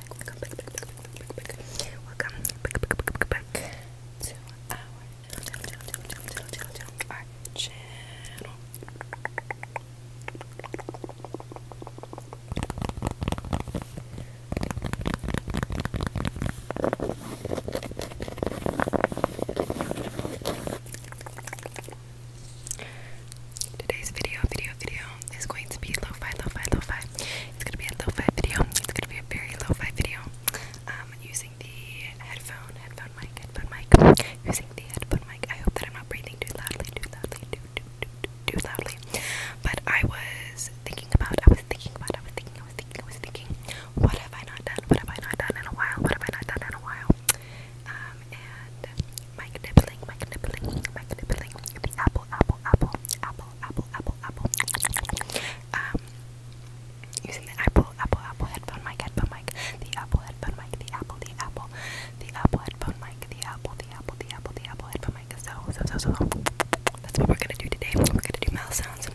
back, welcome back, back, back, back, back, welcome back, back, back, back, back to our channel, channel, channel, channel, channel, channel, channel, our channel. Today's video, video, video is going to be lo-fi, lo-fi, lo-fi. It's gonna be a low fi video. It's gonna be a very low fi video. Um, using the headphone, headphone mic, headphone mic, using the headphone mic. I hope that I'm not breathing too loudly, too loudly, too too too too loudly. But I was thinking about, I was thinking about, I was thinking, I was thinking, I was thinking. What have I not done? What have I not done in a while? What have I not done in a while? Um, and mic nibbling, mic nibbling, mic nibbling. The apple, apple, apple, apple, apple, apple, apple, Um, using the apple, apple, apple headphone mic, headphone mic, the apple headphone mic, the apple, the apple, the apple headphone mic, the apple, the apple, the apple, the apple headphone mic. So, so, so, so. That's what we're gonna do today. We're gonna do mouth sounds.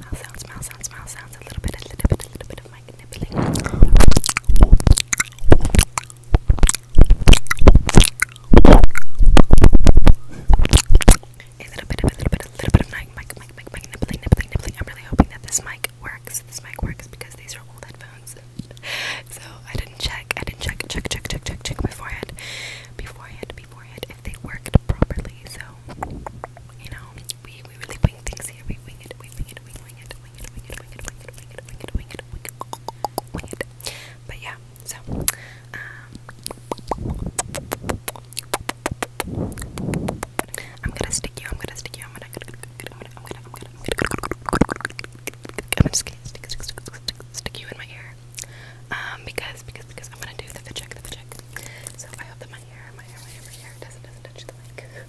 Mouth sounds, mouth sounds, mouth sounds. A little bit, a little bit, a little bit of mic nibbling. A little bit a little bit, a little bit of mic, mic, mic, mic, mic, nibbling, nibbling, nibbling. I'm really hoping that this mic works. This mic works because these are old headphones. so I didn't check. I didn't check, check, check, check, check, check beforehand, beforehand, beforehand if they worked properly. So you know, we we really wing things here. We wing it, we wing it, we wing it, we wing it wicked, wicked, wicked, wicked, wicked, wicked, wicked, wicked, wicked. But yeah, so um I'm gonna stick you, I'm gonna stick you, I'm gonna I'm gonna I'm gonna I'm gonna I'm just gonna stick stick stick stick stick you in my ear. Um because because because I'm gonna do the fit check, the fit check. So I hope that my hair, my hair, my hair, my hair doesn't doesn't touch the mic.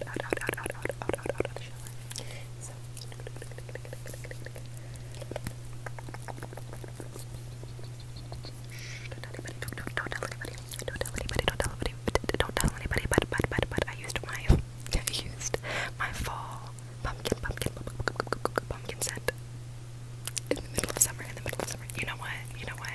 out, out, out, out, out, out, out, out, out of the shower. So Shh, don't tell anybody, don't, don't, don't tell anybody, don't tell anybody, don't tell anybody, don't tell anybody, but, but, but, but, I used my, I used my fall pumpkin, pumpkin, pumpkin, pumpkin scent in the middle of summer, in the middle of summer, you know what, you know what,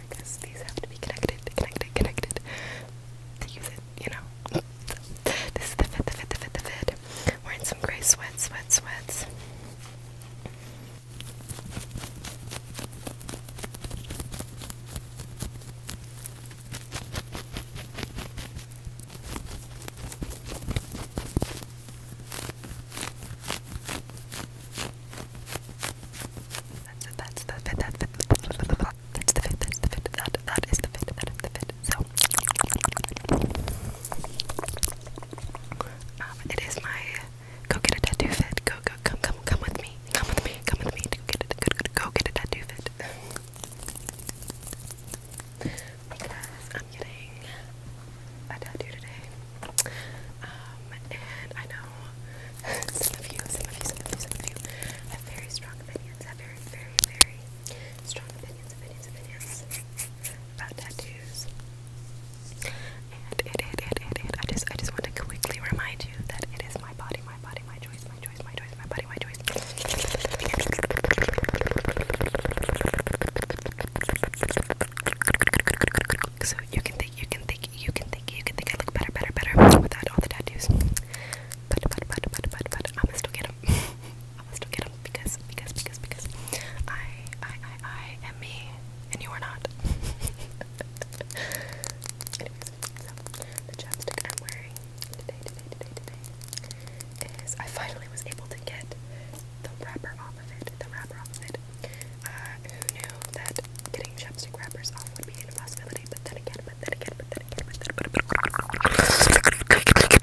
whatever, because these have to be connected, connected, connected you know? this is the fit, the fit, the fit, the fit. Wearing some gray sweats, sweat, sweats. That's it, that's the fit, that's the fit, that's the fit, that's the fit, that's the fit, that, that is the fit, that is the fit, so. Um, it is my go get a tattoo fit, go, go, come, come, come with me, come with me, come with me, go get a, go, go, go get a tattoo fit. because I'm getting a tattoo today. Um, and I know some of you, some of you, some of you, some of you have very strong opinions, have very, very, very strong opinions, opinions, opinions about tattoos. And it, it, it, I just, I just want to quickly remind you that it is my body, my body, my choice, my choice, my choice, my body, my choice. So you can think, you can think, you can think, you can think I look better, better, better without all the tattoos. But, but, but, but, but, but i must gonna still get them. i must gonna still get them because, because, because, because I, I, I, I am me, and you are not. Anyways, so the chapstick I'm wearing today, today, today, today is I finally was able to get the wrapper off of it. The wrapper off of it. Uh, who knew that getting chapstick wrappers off would be an impossibility? but then again, but then again, but then again, but then again, but then again, but then again,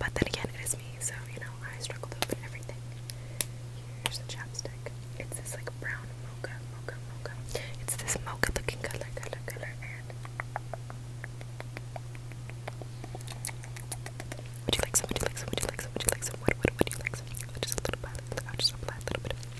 but then again, it is me, so you know, I struggle to open everything. Here's the chapstick. It's this like brown mocha, mocha, mocha. It's this mocha looking color, color, color, and would you like some? Would you like some? Would you like some? Would you like some? What, you like? Some? Just a little bit. just a little bit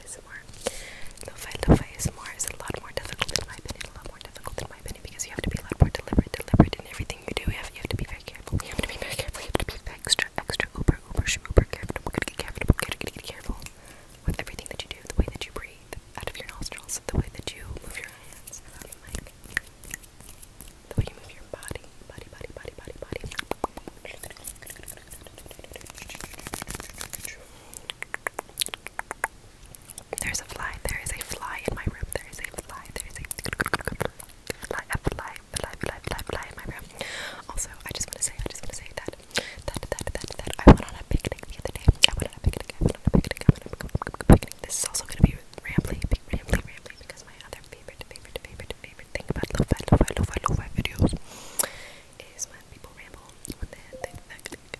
ASMR. Lo-fi, lo-fi ASMR is a lot more difficult in my opinion, a lot more difficult in my opinion because you have to be a lot more deliberate, deliberate in everything you do. You have, to be very careful. You have to be very careful. You have to be extra, extra, uber, uber, uber careful. Get careful, get careful with everything that you do, the way that you breathe out of your nostrils, the way that you move your hands the way you move your body, body, body, body, body, body. There's a fly. There is a fly in my room. There is a fly. There is a fly, a fly, fly, fly, fly, fly in my room. Also, I just want to say, I just want to say that, that, that, that, that I went on a picnic the other I went on a picnic. I went on a picnic. I went on a picnic. This is also gonna be rambly, rambly, rambly, because my other favorite, favorite, favorite, favorite thing about lo-fi, lo-fi, lo-fi, lo-fi videos is when people ramble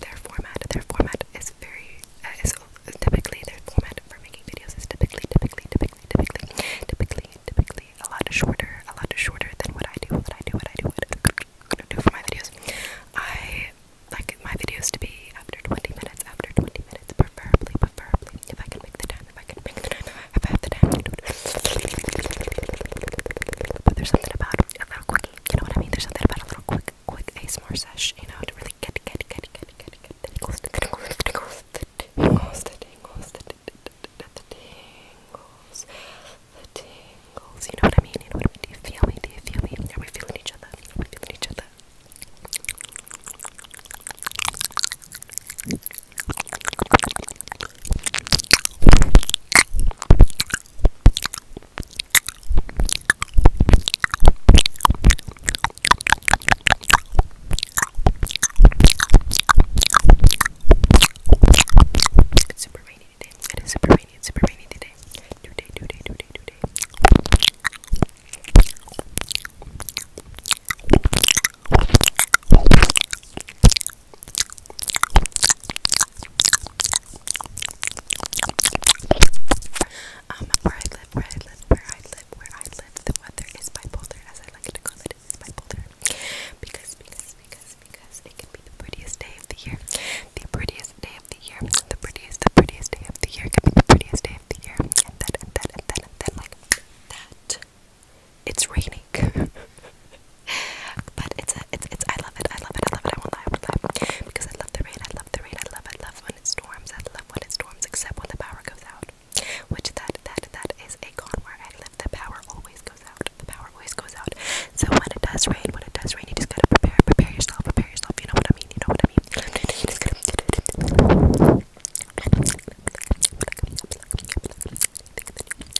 their format, their format is very, uh, is typically their format for making videos is typically, typically, typically, typically, typically, typically a lot shorter, a lot shorter than what I do, what I do, what I do, what I do for my videos. I like my videos to be after 20 minutes, after 20 minutes, preferably, preferably, if I can make the time, if I can bring the if I have the time. But there's something about a little quickie, you know what I mean? There's something about a little quick, quick ASMR sesh, you know, to really get, get, get, get, get, get, get the tingles, the tingles, the tingles, the tingles, the tingles, the tingles, the tingles, you know what I mean? You know what I mean? Do you feel me? Do you feel me? Are we feeling each other? Are we feeling each other? It's super rainy today. It is super rainy. It's super rainy today. Today, today, today, today. Um, where I live, where I live, where I live, where I live, the weather is bipolar, as I like to call it, is bipolar. Because, because, because, because it can be the prettiest day of the year, the prettiest day of the year, the prettiest, the prettiest day of the year, can be the prettiest day of the year, and and then, and then, and then, like that it's raining. but it's it's it's I love it. I love it. I love it. I won't lie. I won't lie. Because I love the rain. I love the rain. I love I love when it storms. I love when it storms except when the power goes out. Which that that that is a con where The power always goes out. The power always goes out. So when it does rain, when it does rain, you just gotta prepare, prepare yourself, prepare yourself. You know what I mean? You know what I mean?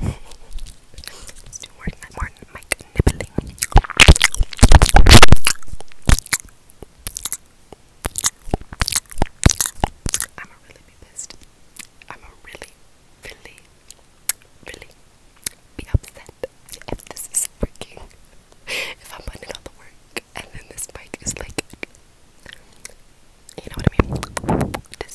Let's do more, mic nibbling. I'ma really be pissed. I'ma really, really, really be upset if this is working. If I'm putting all the work and then this mic is like, you know what I mean?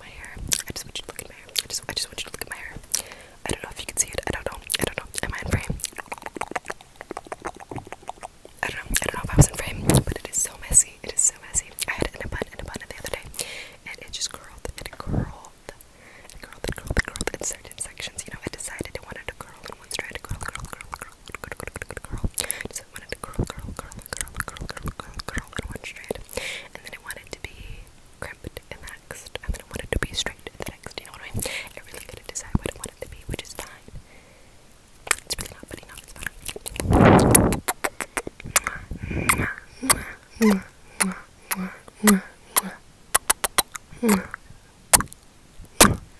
My hair. I just want you to look at my hair. I just, I just want you to look at my hair. I don't know if you can see it. I don't know. I don't know. Am I in frame? I don't know. I don't know if I was in frame, but it is so messy. It is so messy. I had it in a bun, in a bun the other day, and it just curled and curled and curled and curled and curled in certain sections. You know, I decided I wanted to curl in one strand, curl, curl, curl, curl, curl, curl, curl, curl. So I wanted to curl, curl, curl, curl, curl, curl, curl, curl in one strand. And then I wanted to be crimped in the next. And then I wanted to be straight in the next. You know what I mean? I really couldn't decide what I wanted to be, which is fine. It's really not putting off, it's fine.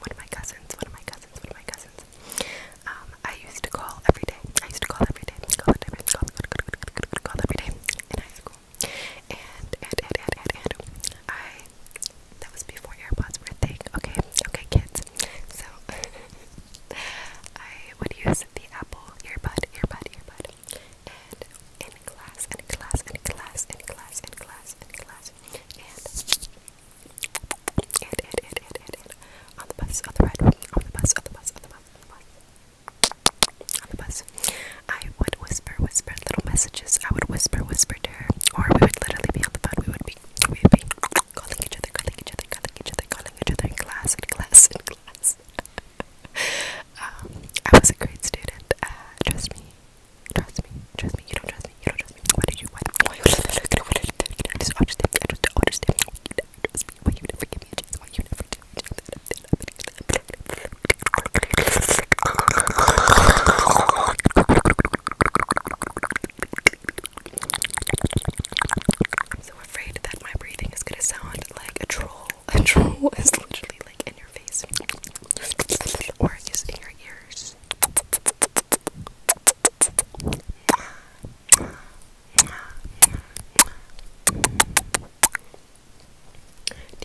one of my cousins, one of my cousins, one of my cousins. Um, I used to call every day. I used to call every day. Call every day. Call, call, call, call, call, call every day in high school. And and and and and, and I that was before AirPods were a thing. Okay, okay, kids. So I would use the Apple earbud, earbud, earbud, and in class, in class, in class, in class, in class, in class, and on the bus, on the ride, on the bus, on the bus, on the bus, on the bus. On the bus. I would whisper, whisper little messages. I would whisper, whisper to her. Or we would literally be on the phone. We would be, calling each other, calling each other, calling each other, calling each other in class, in class, in class. um, I was a great student. Uh, trust me. Trust me. Trust me. You don't trust trust me, you don't trust me. Why did you why why you I just understand I just understand you never trust me. Why you never give me a chance? Why you never do me I'm so afraid that my breathing is gonna sound like a troll. A troll is literally like in your face or is in your ears. Do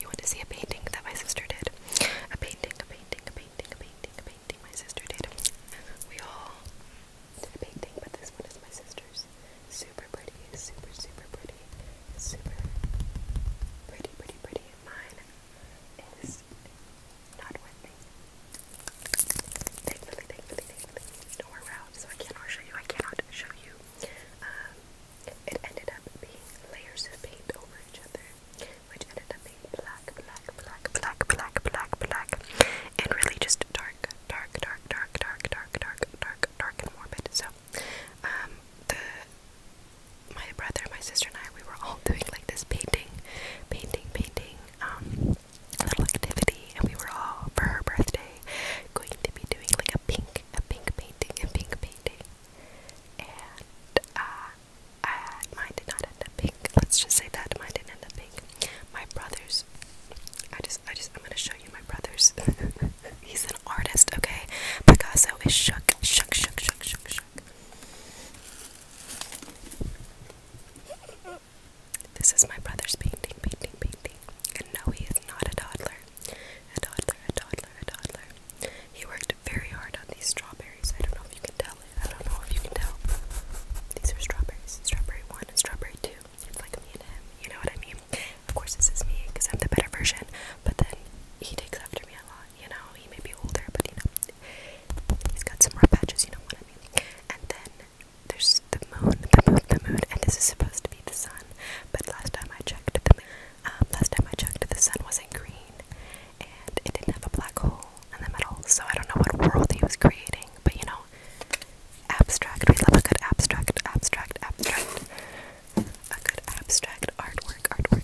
you want to see a painting that my sister did? A painting, a painting, a painting, a painting, a painting my sister did. We all did a painting, but this one is my sister's. Super pretty, super, super pretty, super pretty, pretty, pretty. Mine is was not with me. Thankfully, thankfully, thankfully, no more route, so I cannot show you. I cannot show you. Um, it ended up being layers of paint over each other, which ended up being black, black, black, black, black, black, black, and really just dark, dark, dark, dark, dark, dark, dark, dark, dark, and morbid. So, um, the my brother, my sister, and I, we were all doing like this painting, painting, painting, um, little activity, and we were all for her birthday going to be doing like a pink, a pink painting, a pink painting. And uh, I, mine did not end up pink. Let's just say that mine did end up pink. My brother's. I just, I just, I'm gonna show you my brother's. He's an artist, okay? Picasso is shook, shook, shook, shook, shook, shook. This is my brother's painting, painting, painting. And no, he is not a toddler. A toddler, a toddler, a toddler. He worked very hard on these strawberries. I don't know if you can tell it. I don't know if you can tell. These are strawberries. Strawberry 1 and strawberry 2. It's like me and him. You know what I mean? Of course, this is me because I'm the better version. But then he takes after me a lot. You know, he may be older, but you know, he's got some rough patches. You know what I mean? And then there's the moon, the moon, the moon, and this is supposed to be the sun. But last time I checked, the um, last time I checked, the sun wasn't green, and it didn't have a black hole in the middle. So I don't know what world he was creating, but you know, abstract. We love a good abstract, abstract, abstract, a good abstract artwork, artwork.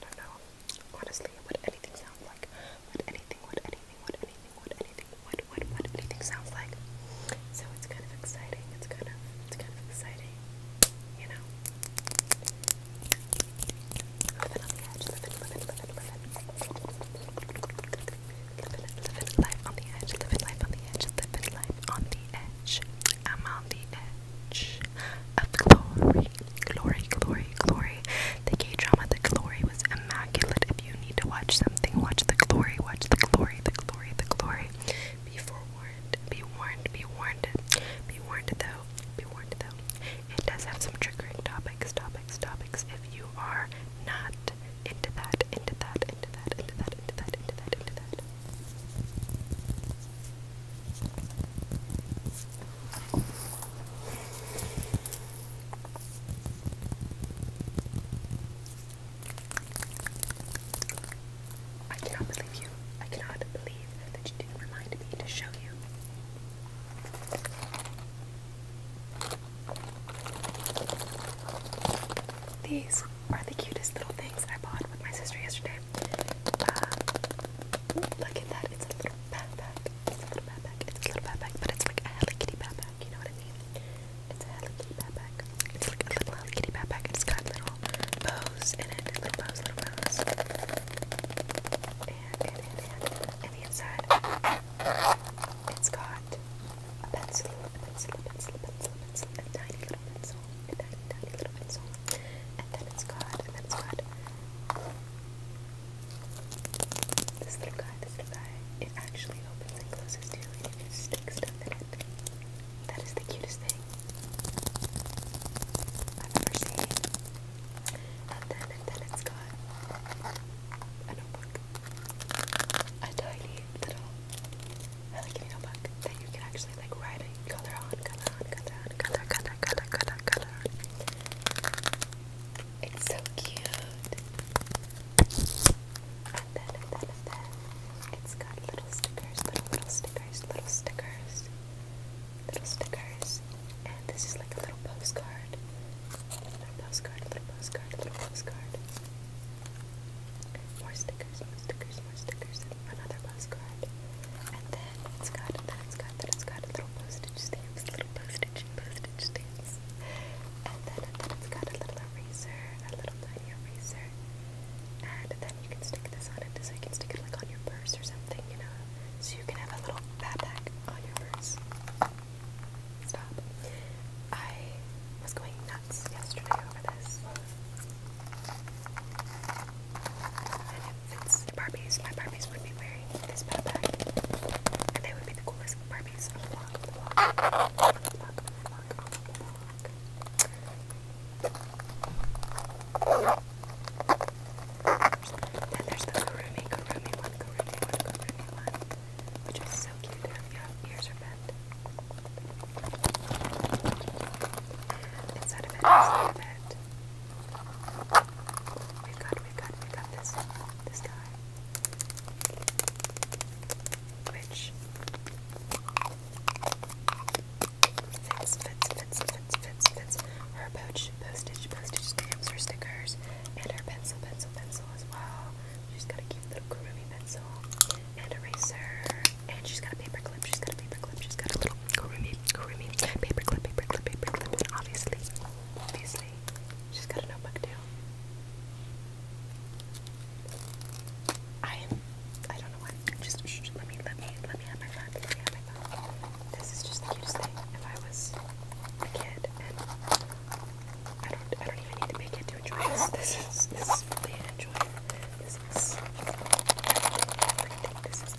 I don't know. Honestly, what anything sounds like. What anything, what anything, what anything, what anything, what what what anything sounds like. So it's kind of exciting. It's kind of it's kind of exciting. You know. Living on the edge, living, living, living, living. Living, living life on the edge, living life on the edge, living life on the edge. I'm on the edge of glory, glory, glory, glory. The gay drama, the glory was immaculate. If you need to watch something, watch the glory, watch the glory, the glory, the glory. Be forewarned, be warned, be warned, be warned though, be warned though. It does have some triggering topics, topics, topics. If you are not into that, into that, into that, into that, into that, into that, into that. I cannot believe you. I cannot believe that you didn't remind me to show you. These are the cutest little things I bought with my sister yesterday. Uh, look at that, it's a little backpack. It's a little backpack. It's a little backpack, but it's like a Hello Kitty backpack. You know what I mean? It's a Hello Kitty backpack. It's like a little Hello Kitty backpack. It's got little bows in it. Little bows, little bows. And, and, the inside, it's got a pencil, a pencil, a pencil, a pencil, a pencil, a tiny little pencil, a tiny, tiny little pencil. And then it's got, and then it's got this little guy, this little guy, it actually opens and closes too, and you can stick stuff in it. That is the cutest thing I've ever seen. And then, and then it's got a notebook. A tiny little Hello Kitty notebook that you can actually like writing color on, color on, color on, color, color, color, color, color It's so cute. And then, and then, and then, it's got little stickers, little, little stickers, little stickers, little stickers. And this is like a little postcard. Little postcard, little postcard, little postcard. More stickers, more stickers, more stickers, another postcard. And it's got, it's got, it's got little postage stamps, little postage postage stamps. And then, and then it's got a little eraser, a little tiny eraser. And then you can stick this on it, so you can stick it like on your purse or something, you know? So you can have a little backpack on your purse. Stop. I was going nuts yesterday over this. And if it's Barbies, my Barbies would be wearing this backpack. And they would be the coolest Barbies on the block, Then there's the Kurumi, Kurumi one, Kurumi one, Kurumi one, which is so cute. Their ears are bent. Inside of it, inside of it, we got, we got, we got this, this guy. Which Her postage, postage, postage stamps, her stickers, and her pencil, pencil, pencil as well. She's got a cute little groovy pencil and eraser. And she's got a paper she's got a paper she's got a Kurumi, Kurumi, paperclip, paperclip, paperclip, and obviously, obviously, she's got a notebook too. I am, I don't know what, just shh, shh, let me, let me, let me have my fun, let me have my fun. This is just the cutest thing. If I was a kid and I don't, I don't even need to make it to enjoy this. This is, this is really enjoying. This is everything. This is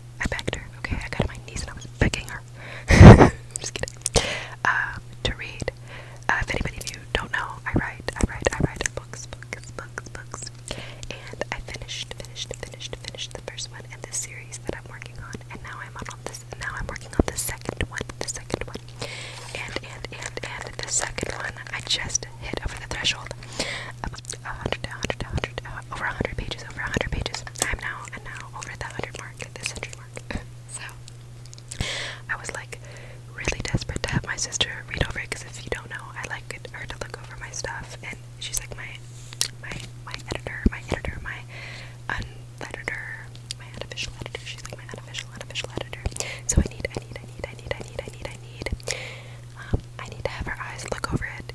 I begged her, okay? I got on my knees and I was begging her. just kidding. Uh, to read. Uh, if anybody of you don't know, I write, I write, I write books, books, books, books. And I finished, finished, finished, finished the first one in this series that I'm working on. And now I'm on this, now I'm working on the second one, the second one. And, and, and, and the second one I just hit over the threshold 100, 100, 100, over 100 pages, over 100 pages. I'm now, and now over the 100 mark, the century mark. so, I was like really desperate to have my sister read over it because if you don't know, I like it, her to look over my stuff, and she's like my, my, my editor, my editor, my uneditor, my unofficial editor. She's like my unofficial, unofficial editor. So I need, I need, I need, I need, I need, I need, I need. Um, I need to have her eyes look over it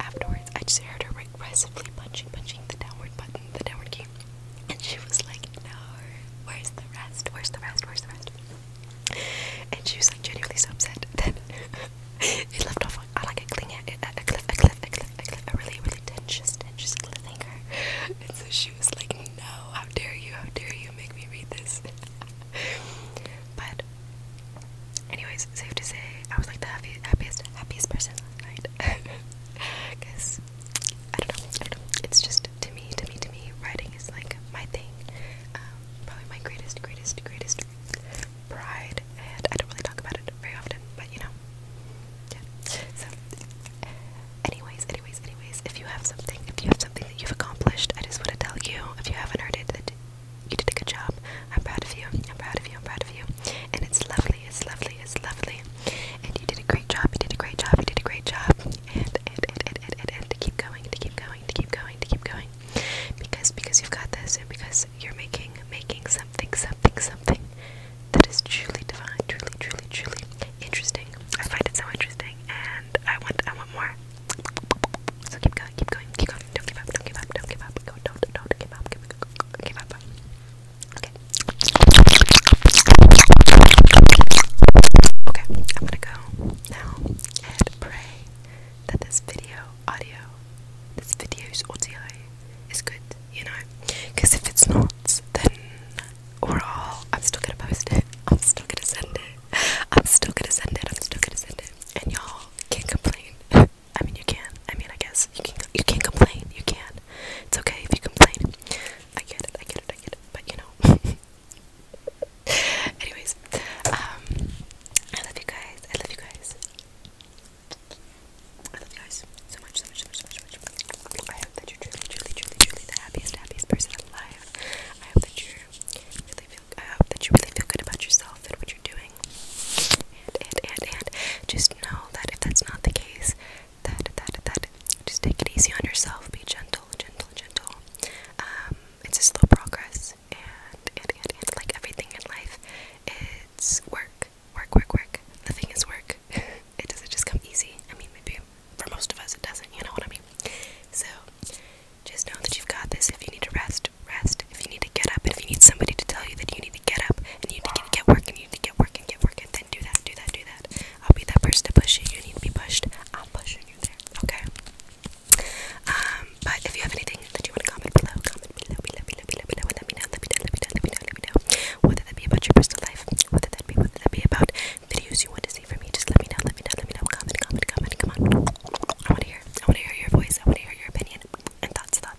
afterwards, I just heard her aggressively punching, punching the downward button, the downward key. And she was like, no, where's the rest? Where's the rest? Where's the rest? And she was like genuinely so upset that it left off on, on like a cling a, a cliff, a cliff, a cliff, a cliff, a really, really tensious, tensious cliffhanger. And so she was like, no, how dare you, how dare you make me read this. but anyways, safe to say, I was like the happiest, happiest person last night. Because I don't know, It's just to me, to me, to me, writing is like my thing. Um, probably my greatest, greatest, greatest pride, and I don't really talk about it very often, but you know, So, anyways, anyways, anyways, if you have something, if you have something that you've accomplished, I just want to tell you, if you haven't heard it, that you did a good job. I'm proud of you. I'm proud of you. I'm proud of you. And it's lovely. It's lovely. It's lovely. And you did a great job. You did a great job. You did a great job. And and and and and, and, and to keep going. To keep going. To keep going. To keep going. Because because you've got this, and because you're making making something something something that is truly divine, truly truly truly interesting. I find it so interesting, and I want I want more. So keep going, keep going, keep going. Don't give up, don't give up, don't give up. Go, don't, don't give up, give up, give up. Okay. Okay, I'm gonna go now and pray that this video audio, this video's audio is good, you know? Because if it's not, then we're all. I'm still gonna post it. I'm still gonna send it. I'm still gonna send it. I'm still gonna send it. And y'all can't complain. I mean, you can. I mean, I guess you can. You can complain. You can. It's okay if you complain. I get it. I get it. I get it. But you know. Anyways, um, I love you guys. I love you guys. I love you guys so much, so much, so much, so much, so much. I hope that you're truly, truly, truly, truly the happiest, happiest person alive. I hope that you really feel. I hope that you really feel good about yourself and what you're doing. And, and, and, and just know that if that's not the case, that, that, that, just take it easy on yourself. Be gentle, gentle, gentle. Um, it's a slow progress. And, and, and, and like everything in life, it's work, work, work, work. Nothing is work. it doesn't just come easy. I mean, maybe for most of us it doesn't, you know what I mean? So, just know that you've got this. If you need to rest, rest, rest. If you need to get up, if you need somebody to tell you that you need to get up and you need to get, get work and you need to get work and get work and then do that, do that, do that. I'll be that person to push you. You need to be pushed. I'm pushing you there. Okay. Um, but if you have anything that you want to comment below, comment below, below, below, below, below, let me know, let me know, let me know, let me know, let me know. Whether that be about your personal life, whether that be whether that be about videos you want to see from me, just let me know, let me know, let me know. Comment, comment, comment, come on. I wanna hear, I wanna hear your voice, I wanna hear your opinion and thoughts, thoughts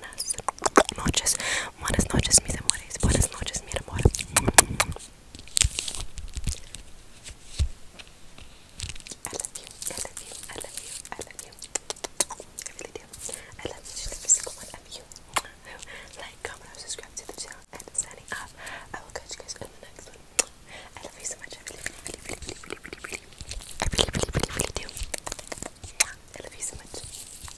buenas noches, buenas noches, mis amores, buenas noches, mi amor. I love you, I love you, I love you, I love you. I really do. I love each and every single one of you who like, comment, or subscribe to the channel and signing up. I will catch you guys in the next one. I love you so much. I really, really, really, really, really, really, really, really, really do. I love you so much.